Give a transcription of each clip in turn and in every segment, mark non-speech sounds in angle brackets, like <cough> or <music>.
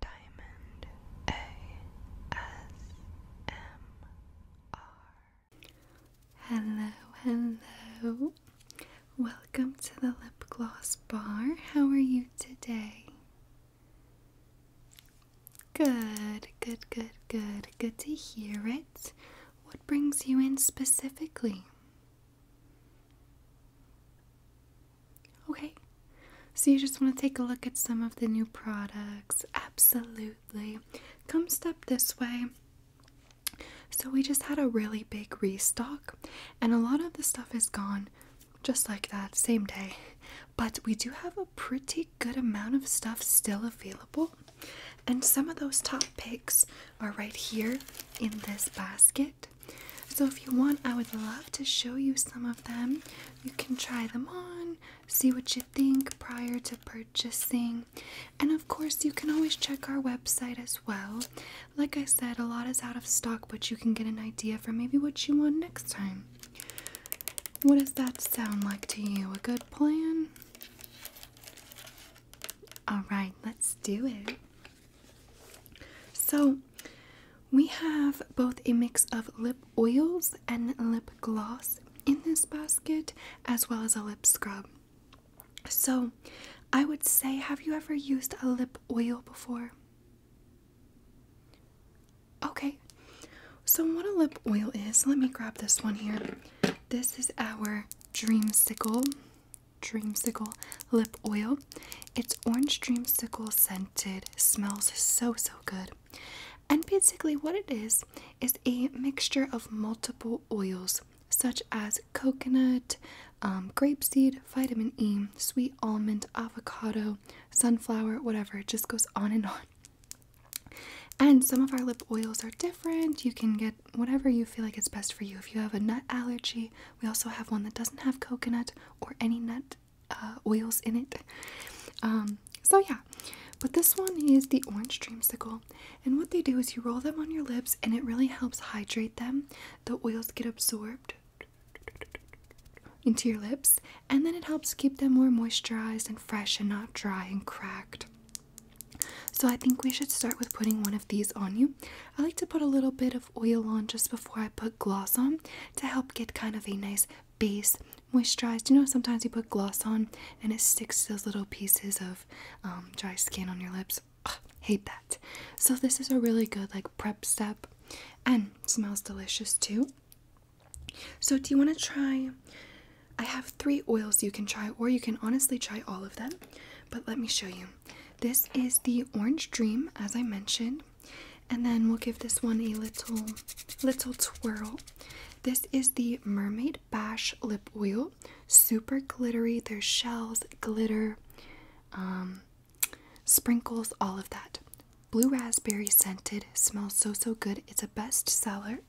Diamond ASMR. Hello, hello. Welcome to the lip gloss bar. How are you today? Good, good, good, good. Good to hear it. What brings you in specifically? Okay. So you just want to take a look at some of the new products. Absolutely. Come step this way. So we just had a really big restock and a lot of the stuff is gone just like that same day. But we do have a pretty good amount of stuff still available. And some of those top picks are right here in this basket. So, if you want, I would love to show you some of them. You can try them on, see what you think prior to purchasing, and of course, you can always check our website as well. Like I said, a lot is out of stock, but you can get an idea for maybe what you want next time. What does that sound like to you? A good plan? All right, let's do it. So, we have both a mix of lip oils and lip gloss in this basket, as well as a lip scrub. So, I would say, have you ever used a lip oil before? Okay, so what a lip oil is, let me grab this one here. This is our Dreamsicle, Dreamsicle lip oil. It's orange dreamsicle scent smells so so good. And basically, what it is is a mixture of multiple oils such as coconut, um, grapeseed, vitamin E, sweet almond, avocado, sunflower, whatever. It just goes on and on. And some of our lip oils are different. You can get whatever you feel like it's best for you. If you have a nut allergy, we also have one that doesn't have coconut or any nut oils uh, in it. Um, so yeah, but this one is the orange dreamsicle, and what they do is you roll them on your lips, and it really helps hydrate them. The oils get absorbed into your lips, and then it helps keep them more moisturized and fresh and not dry and cracked. So, I think we should start with putting one of these on you. I like to put a little bit of oil on just before I put gloss on to help get kind of a nice base moisturized. You know, sometimes you put gloss on and it sticks to those little pieces of um, dry skin on your lips. hate that. So this is a really good like prep step and smells delicious too. So do you want to try? I have three oils you can try, or you can honestly try all of them. But let me show you. This is the Orange Dream, as I mentioned and then we'll give this one a little little twirl. This is the Mermaid Bash Lip Oil, super glittery. There's shells, glitter, um, sprinkles, all of that. Blue raspberry scented, smells so so good. It's a best seller.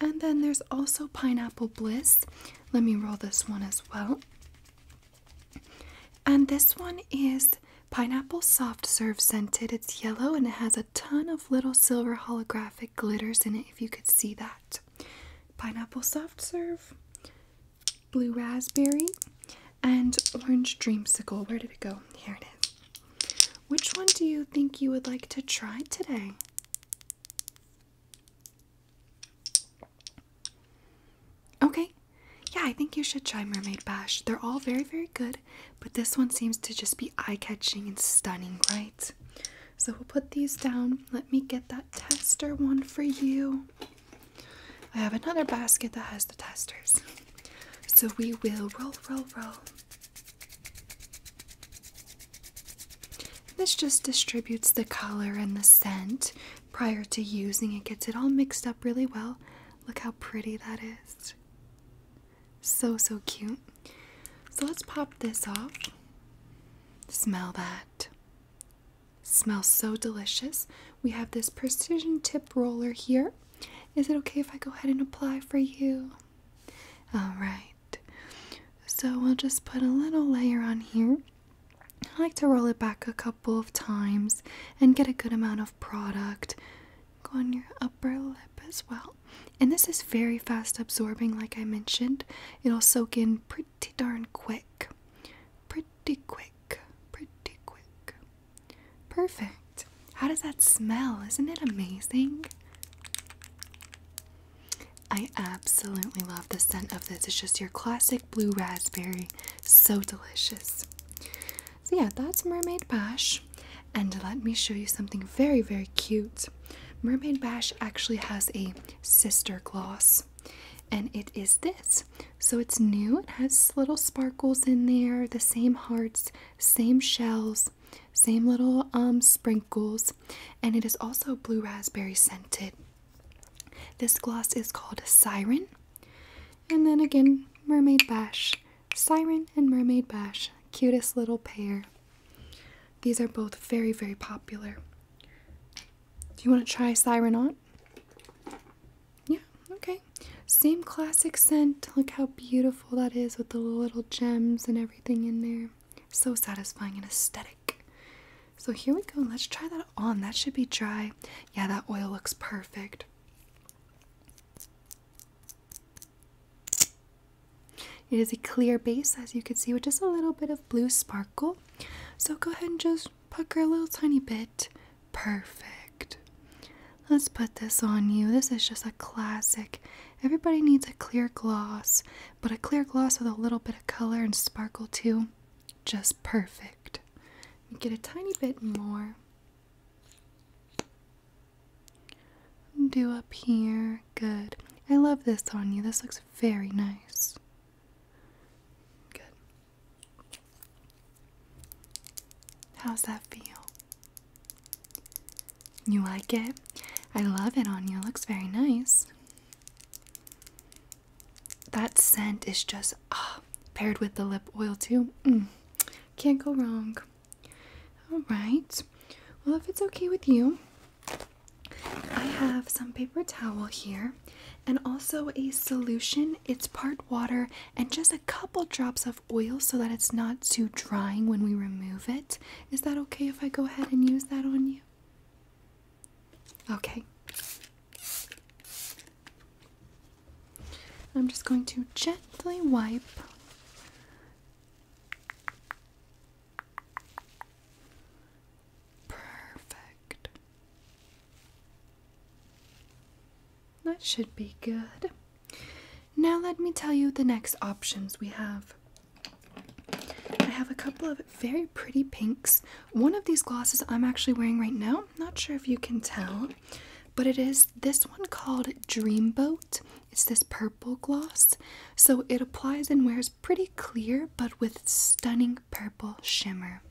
And then there's also Pineapple Bliss. Let me roll this one as well. And this one is pineapple soft serve scented. It's yellow and it has a ton of little silver holographic glitters in it, if you could see that. Pineapple soft serve, blue raspberry, and orange dreamsicle. Where did it go? Here it is. Which one do you think you would like to try today? Okay. Yeah, I think you should try Mermaid Bash. They're all very, very good, but this one seems to just be eye catching and stunning, right? So we'll put these down. Let me get that tester one for you. I have another basket that has the testers. So we will roll, roll, roll. This just distributes the color and the scent prior to using. It gets it all mixed up really well. Look how pretty that is. So, so cute. So let's pop this off. Smell that. Smells so delicious. We have this precision tip roller here. Is it okay if I go ahead and apply for you? All right. So we'll just put a little layer on here. I like to roll it back a couple of times and get a good amount of product. Go on your upper lip as well. And this is very fast absorbing, like I mentioned. It'll soak in pretty darn quick. Pretty quick. Pretty quick. Perfect. How does that smell? Isn't it amazing? I absolutely love the scent of this. It's just your classic blue raspberry. So delicious. So, yeah, that's Mermaid Bash. And let me show you something very, very cute. Mermaid Bash actually has a sister gloss, and it is this. So, it's new, it has little sparkles in there, the same hearts, same shells, same little um, sprinkles, and it is also blue raspberry scented. This gloss is called Siren. And then again, Mermaid Bash. Siren and Mermaid Bash. Cutest little pair. These are both very, very popular. Do you want to try Siren on? Yeah, okay. Same classic scent. Look how beautiful that is with the little gems and everything in there. So satisfying and aesthetic. So here we go. Let's try that on. That should be dry. Yeah, that oil looks perfect. It is a clear base, as you can see, with just a little bit of blue sparkle. So go ahead and just pucker a little tiny bit. Perfect. Let's put this on you. This is just a classic. Everybody needs a clear gloss, but a clear gloss with a little bit of color and sparkle too. Just perfect. Get a tiny bit more. Do up here. Good. I love this on you. This looks very nice. Good. How's that feel? You like it? I love it on you. It looks very nice that scent is just ah, paired with the lip oil too. Mm. can't go wrong. All right. Well, if it's okay with you, I have some paper towel here and also a solution. It's part water and just a couple drops of oil so that it's not too drying when we remove it. Is that okay if I go ahead and use that on you? Okay. I'm just going to gently wipe Perfect. That should be good. Now, let me tell you the next options we have. I have a couple of very pretty pinks. One of these glosses I'm actually wearing right now, not sure if you can tell, but it is this one called Dreamboat. It's this purple gloss. So it applies and wears pretty clear, but with stunning purple shimmer.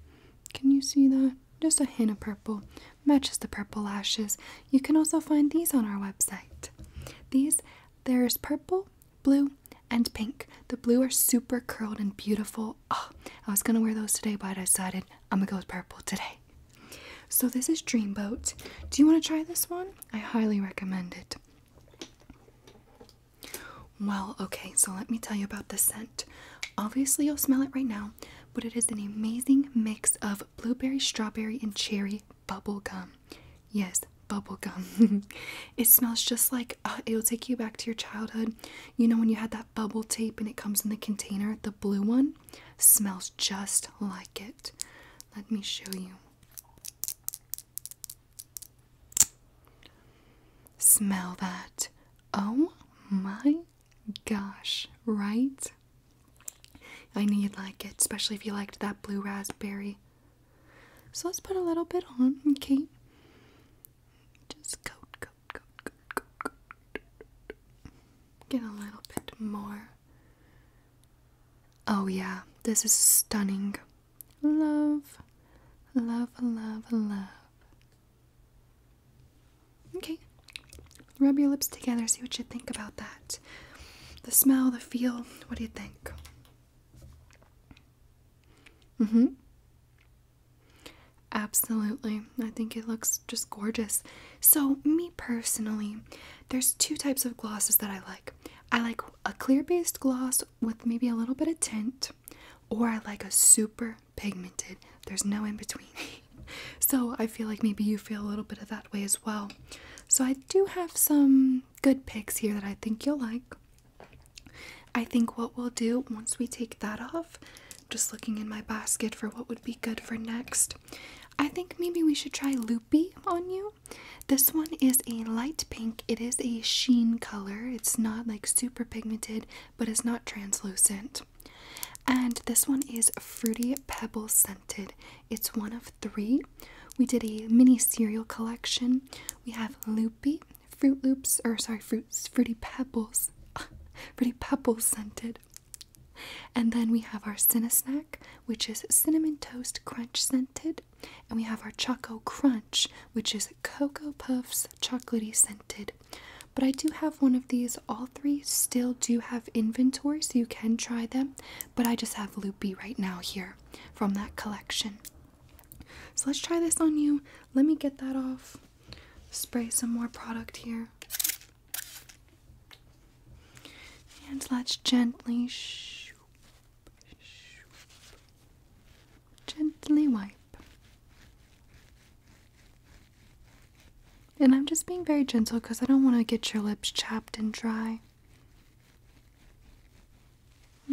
Can you see that? Just a hint of purple. Matches the purple lashes. You can also find these on our website. These, there's purple blue and pink. The blue are super curled and beautiful. Oh, I was gonna wear those today, but I decided I'm gonna go with purple today. So this is Dreamboat. Do you want to try this one? I highly recommend it. Well, okay, so let me tell you about the scent. Obviously, you'll smell it right now, but it is an amazing mix of blueberry, strawberry, and cherry bubble gum. Yes, bubble gum. <laughs> it smells just like Oh, it'll take you back to your childhood. You know when you had that bubble tape and it comes in the container, the blue one smells just like it. Let me show you. Smell that. Oh my gosh, right? I know you'd like it, especially if you liked that blue raspberry. So let's put a little bit on, okay? Just coat, coat, coat, coat, coat, coat. Get a little bit more. Oh, yeah, this is stunning. Love, love, love, love. Okay, rub your lips together, see what you think about that. The smell, the feel, what do you think? Mm hmm. Absolutely. I think it looks just gorgeous. So, me personally, there's two types of glosses that I like. I like a clear based gloss with maybe a little bit of tint, or I like a super pigmented. There's no in between. <laughs> so, I feel like maybe you feel a little bit of that way as well. So, I do have some good picks here that I think you'll like. I think what we'll do once we take that off, just looking in my basket for what would be good for next, I think maybe we should try Loopy on you. This one is a light pink, it is a sheen color, it's not like super pigmented, but it's not translucent. And this one is Fruity Pebble Scented, it's one of three. We did a mini cereal collection. We have Loopy, Fruit Loops, or sorry, fruits, Fruity Pebbles, <laughs> Fruity Pebbles scented. And then we have our Cinesnack, which is Cinnamon Toast Crunch scented. And we have our Choco Crunch, which is Cocoa Puffs chocolatey scented. But I do have one of these. All three still do have inventory, so you can try them. But I just have Loopy right now here from that collection. So let's try this on you. Let me get that off. Spray some more product here. And let's gently shoop, gently wipe. And I'm just being very gentle because I don't want to get your lips chapped and dry.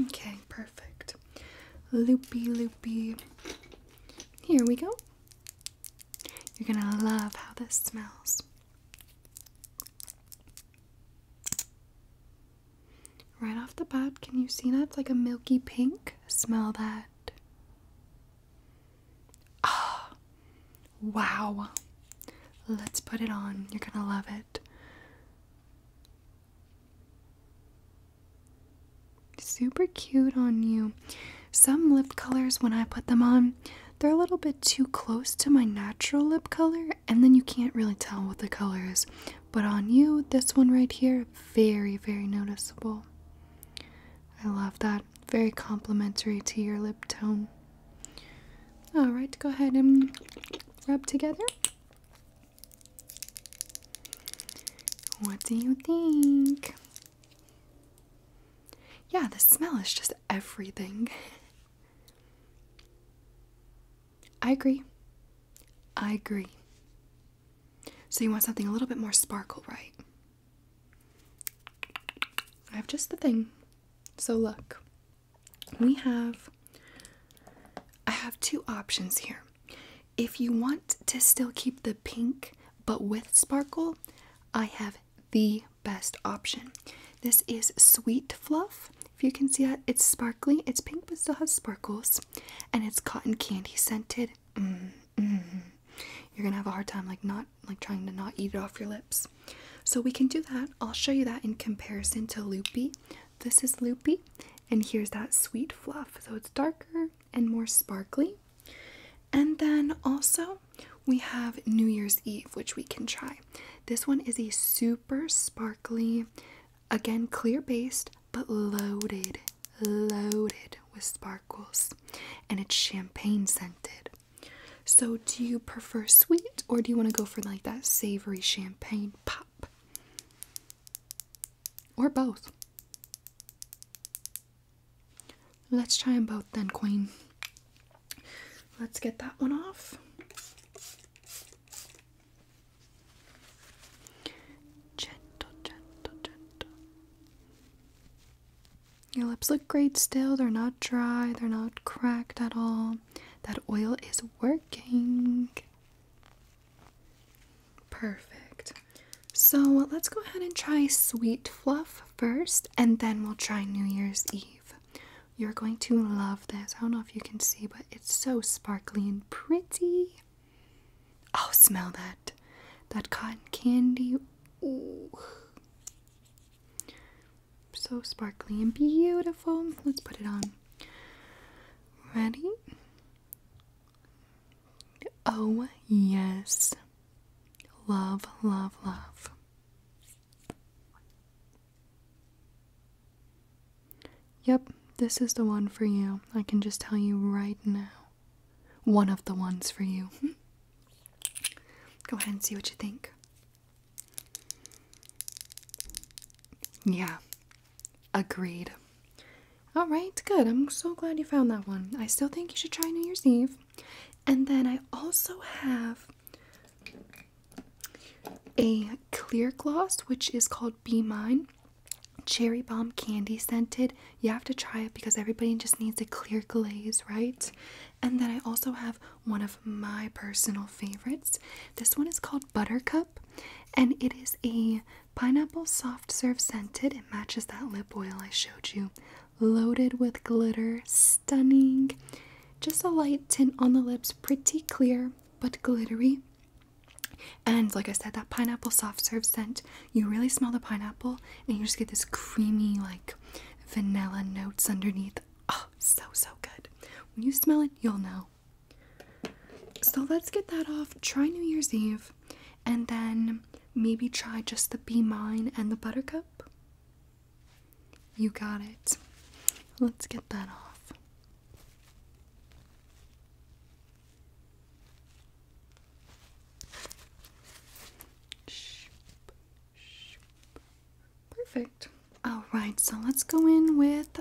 Okay, perfect. Loopy, loopy. Here we go. You're gonna love how this smells. Right off the bat, can you see that? It's like a milky pink. Smell that. Ah, wow. Let's put it on. You're gonna love it. Super cute on you. Some lip colors, when I put them on, they're a little bit too close to my natural lip color, and then you can't really tell what the color is. But on you, this one right here, very, very noticeable. I love that. Very complimentary to your lip tone. Alright, go ahead and rub together. What do you think? Yeah, the smell is just everything. <laughs> I agree. I agree. So you want something a little bit more sparkle, right? I have just the thing. So look we have I have two options here. If you want to still keep the pink but with sparkle, I have the best option. This is Sweet Fluff. If you can see it, it's sparkly, it's pink but still has sparkles, and it's cotton candy scented. Mm-hmm. You're gonna have a hard time like not like trying to not eat it off your lips. So we can do that. I'll show you that in comparison to Loopy. This is Loopy, and here's that sweet fluff. So it's darker and more sparkly. And then also, we have New Year's Eve, which we can try. This one is a super sparkly, again, clear based, but loaded, loaded with sparkles. And it's champagne scented. So, do you prefer sweet or do you want to go for like that savory champagne pop? Or both. Let's try them both then, Queen. Let's get that one off. Gentle, gentle, gentle. Your lips look great still. They're not dry, they're not cracked at all. That oil is working. Perfect. So let's go ahead and try Sweet Fluff first, and then we'll try New Year's Eve. You're going to love this. I don't know if you can see, but it's so sparkly and pretty. Oh, smell that. That cotton candy. Ooh. So sparkly and beautiful. Let's put it on. Ready? Oh, yes. Love, love, love. Yep, this is the one for you. I can just tell you right now. One of the ones for you. Hmm? Go ahead and see what you think. Yeah, agreed. All right, good. I'm so glad you found that one. I still think you should try New Year's Eve. And then I also have a clear gloss, which is called Be Mine Cherry Bomb Candy Scented. You have to try it because everybody just needs a clear glaze, right? And then I also have one of my personal favorites. This one is called Buttercup. And it is a pineapple soft serve scented. It matches that lip oil I showed you. Loaded with glitter. Stunning. Just a light tint on the lips. Pretty clear but glittery. And like I said, that pineapple soft serve scent, you really smell the pineapple and you just get this creamy, like vanilla notes underneath. Oh, so, so good. When you smell it, you'll know. So let's get that off. Try New Year's Eve and then maybe try just the B Mine and the Buttercup. You got it. Let's get that off. Shoop, shoop, Perfect. All right, so let's go in with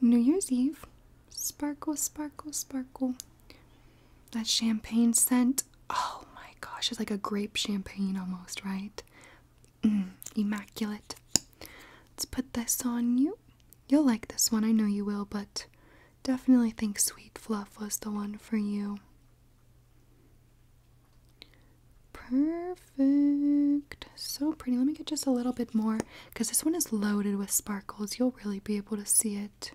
New Year's Eve. Sparkle, sparkle, sparkle. That champagne scent. Oh my gosh, it's like a grape champagne almost, right? Mm, immaculate. Let's put this on you. You'll like this one, I know you will, but definitely think Sweet Fluff was the one for you. Perfect. So pretty. Let me get just a little bit more because this one is loaded with sparkles. You'll really be able to see it.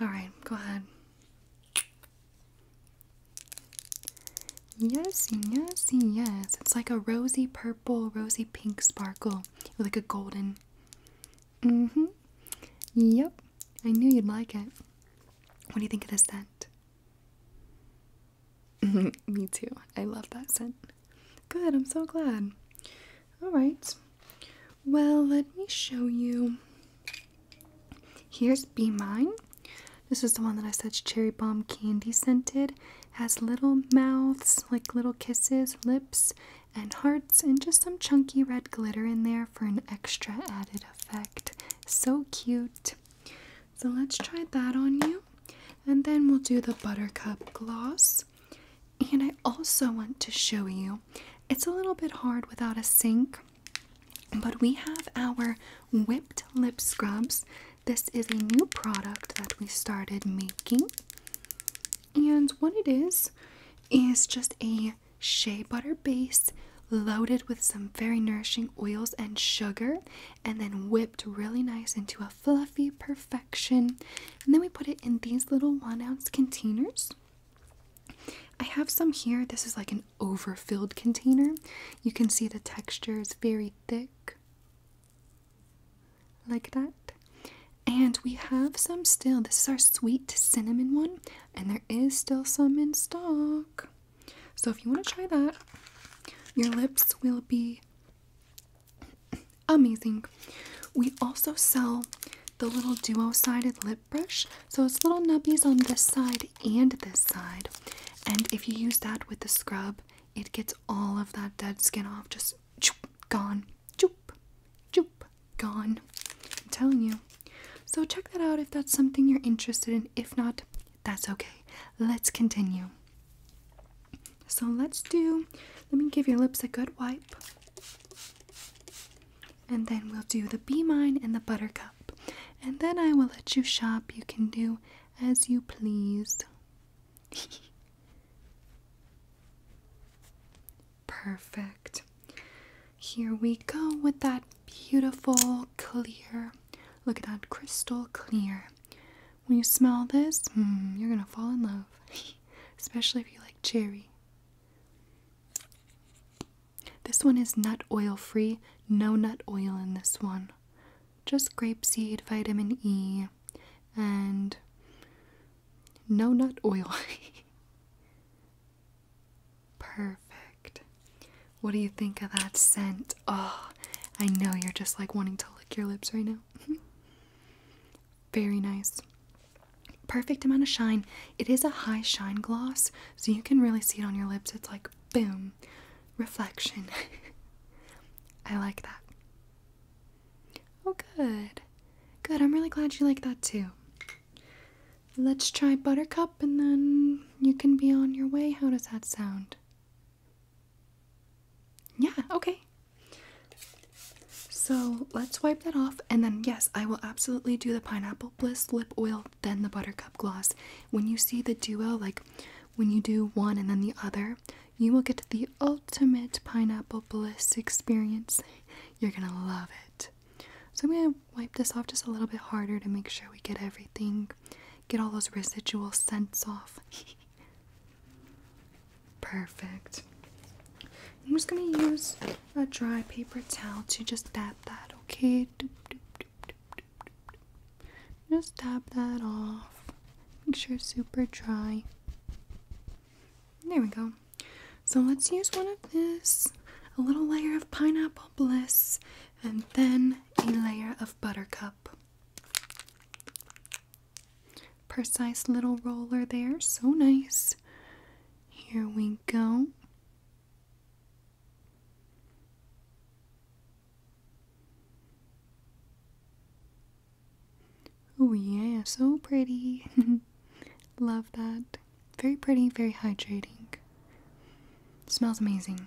All right, go ahead. Yes, yes, yes. It's like a rosy purple, rosy pink sparkle with like a golden. Mm hmm. Yep. I knew you'd like it. What do you think of this scent? <laughs> Me too. I love that scent. Good, I'm so glad. Alright. Well, let me show you. Here's B Mine. This is the one that I said cherry bomb candy scented. Has little mouths, like little kisses, lips, and hearts, and just some chunky red glitter in there for an extra added effect. So cute. So let's try that on you. And then we'll do the buttercup gloss. And I also want to show you, it's a little bit hard without a sink, but we have our whipped lip scrubs. This is a new product that we started making. And what it is, is just a shea butter base loaded with some very nourishing oils and sugar, and then whipped really nice into a fluffy perfection. And then we put it in these little one ounce containers. I have some here. This is like an overfilled container. You can see the texture is very thick, like that. And we have some still. This is our sweet cinnamon one, and there is still some in stock. So if you want to try that, your lips will be amazing. We also sell the little duo-sided lip brush. So it's little nubbies on this side and this side. And if you use that with the scrub, it gets all of that dead skin off. Just choop, gone. Choop, choop, gone. I'm telling you. So check that out if that's something you're interested in. If not, that's okay. Let's continue. So let's do, let me give your lips a good wipe. And then we'll do the bee Mine and the Buttercup. And then I will let you shop. You can do as you please. <laughs> Perfect. Here we go with that beautiful, clear Look at that crystal clear. When you smell this, hmm, you're gonna fall in love, <laughs> especially if you like cherry. This one is nut oil free, no nut oil in this one. Just grapeseed, vitamin E, and no nut oil. <laughs> Perfect. What do you think of that scent? Oh, I know you're just like wanting to lick your lips right now. <laughs> Very nice. Perfect amount of shine. It is a high shine gloss, so you can really see it on your lips. It's like boom, reflection. <laughs> I like that. Oh, good. Good. I'm really glad you like that too. Let's try Buttercup and then you can be on your way. How does that sound? Yeah, okay. So let's wipe that off, and then yes, I will absolutely do the Pineapple Bliss lip oil, then the Buttercup gloss. When you see the duo, like when you do one and then the other, you will get the ultimate Pineapple Bliss experience. You're gonna love it. So I'm gonna wipe this off just a little bit harder to make sure we get everything, get all those residual scents off. <laughs> Perfect. I'm just gonna use a dry paper towel to just dab that, okay? Doop, doop, doop, doop, doop, doop. Just dab that off. Make sure it's super dry. There we go. So let's use one of this, a little layer of pineapple bliss, and then a layer of buttercup. Precise little roller there, so nice. Here we go. Oh, yeah, so pretty. <laughs> Love that. Very pretty, very hydrating. Smells amazing.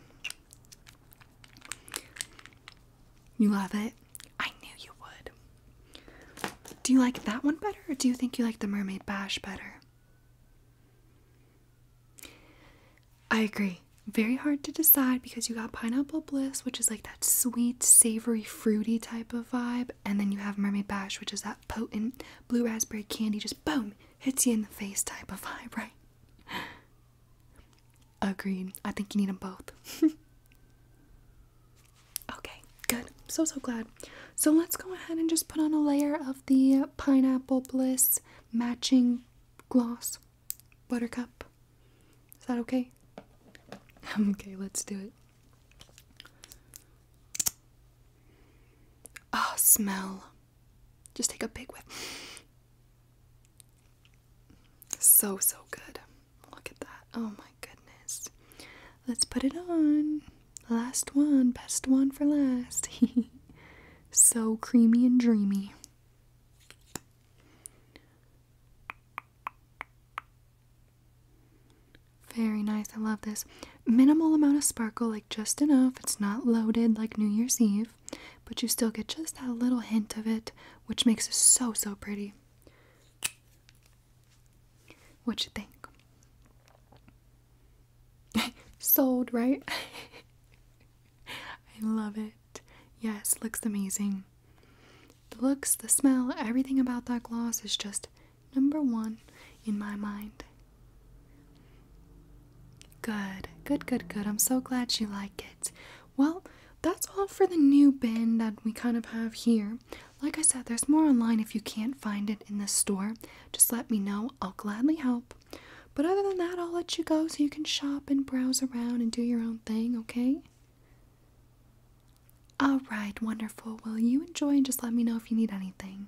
You love it? I knew you would. Do you like that one better or do you think you like the Mermaid Bash better? I agree. Very hard to decide because you got Pineapple Bliss, which is like that sweet, savory, fruity type of vibe, and then you have Mermaid Bash, which is that potent blue raspberry candy, just boom, hits you in the face type of vibe, right? <laughs> Agreed. I think you need them both. <laughs> okay, good. So, so glad. So, let's go ahead and just put on a layer of the Pineapple Bliss matching gloss buttercup. Is that okay? <laughs> okay, let's do it. Oh, smell. Just take a big whiff. So, so good. Look at that. Oh my goodness. Let's put it on. Last one. Best one for last. <laughs> so creamy and dreamy. Very nice. I love this. Minimal amount of sparkle just enough. It's not loaded like New Year's Eve, but you still get just that little hint of it, which makes it so, so pretty. What you think? <laughs> Sold, right? <laughs> I love it. Yes, looks amazing. The looks, the smell, everything about that gloss is just number one in my mind. Good, good, good, good. I'm so glad you like it. Well, that's all for the new bin that we kind of have here. Like I said, there's more online if you can't find it in the store. Just let me know, I'll gladly help. But other than that, I'll let you go so you can shop and browse around and do your own thing, okay? All right, wonderful. Well, you enjoy and just let me know if you need anything.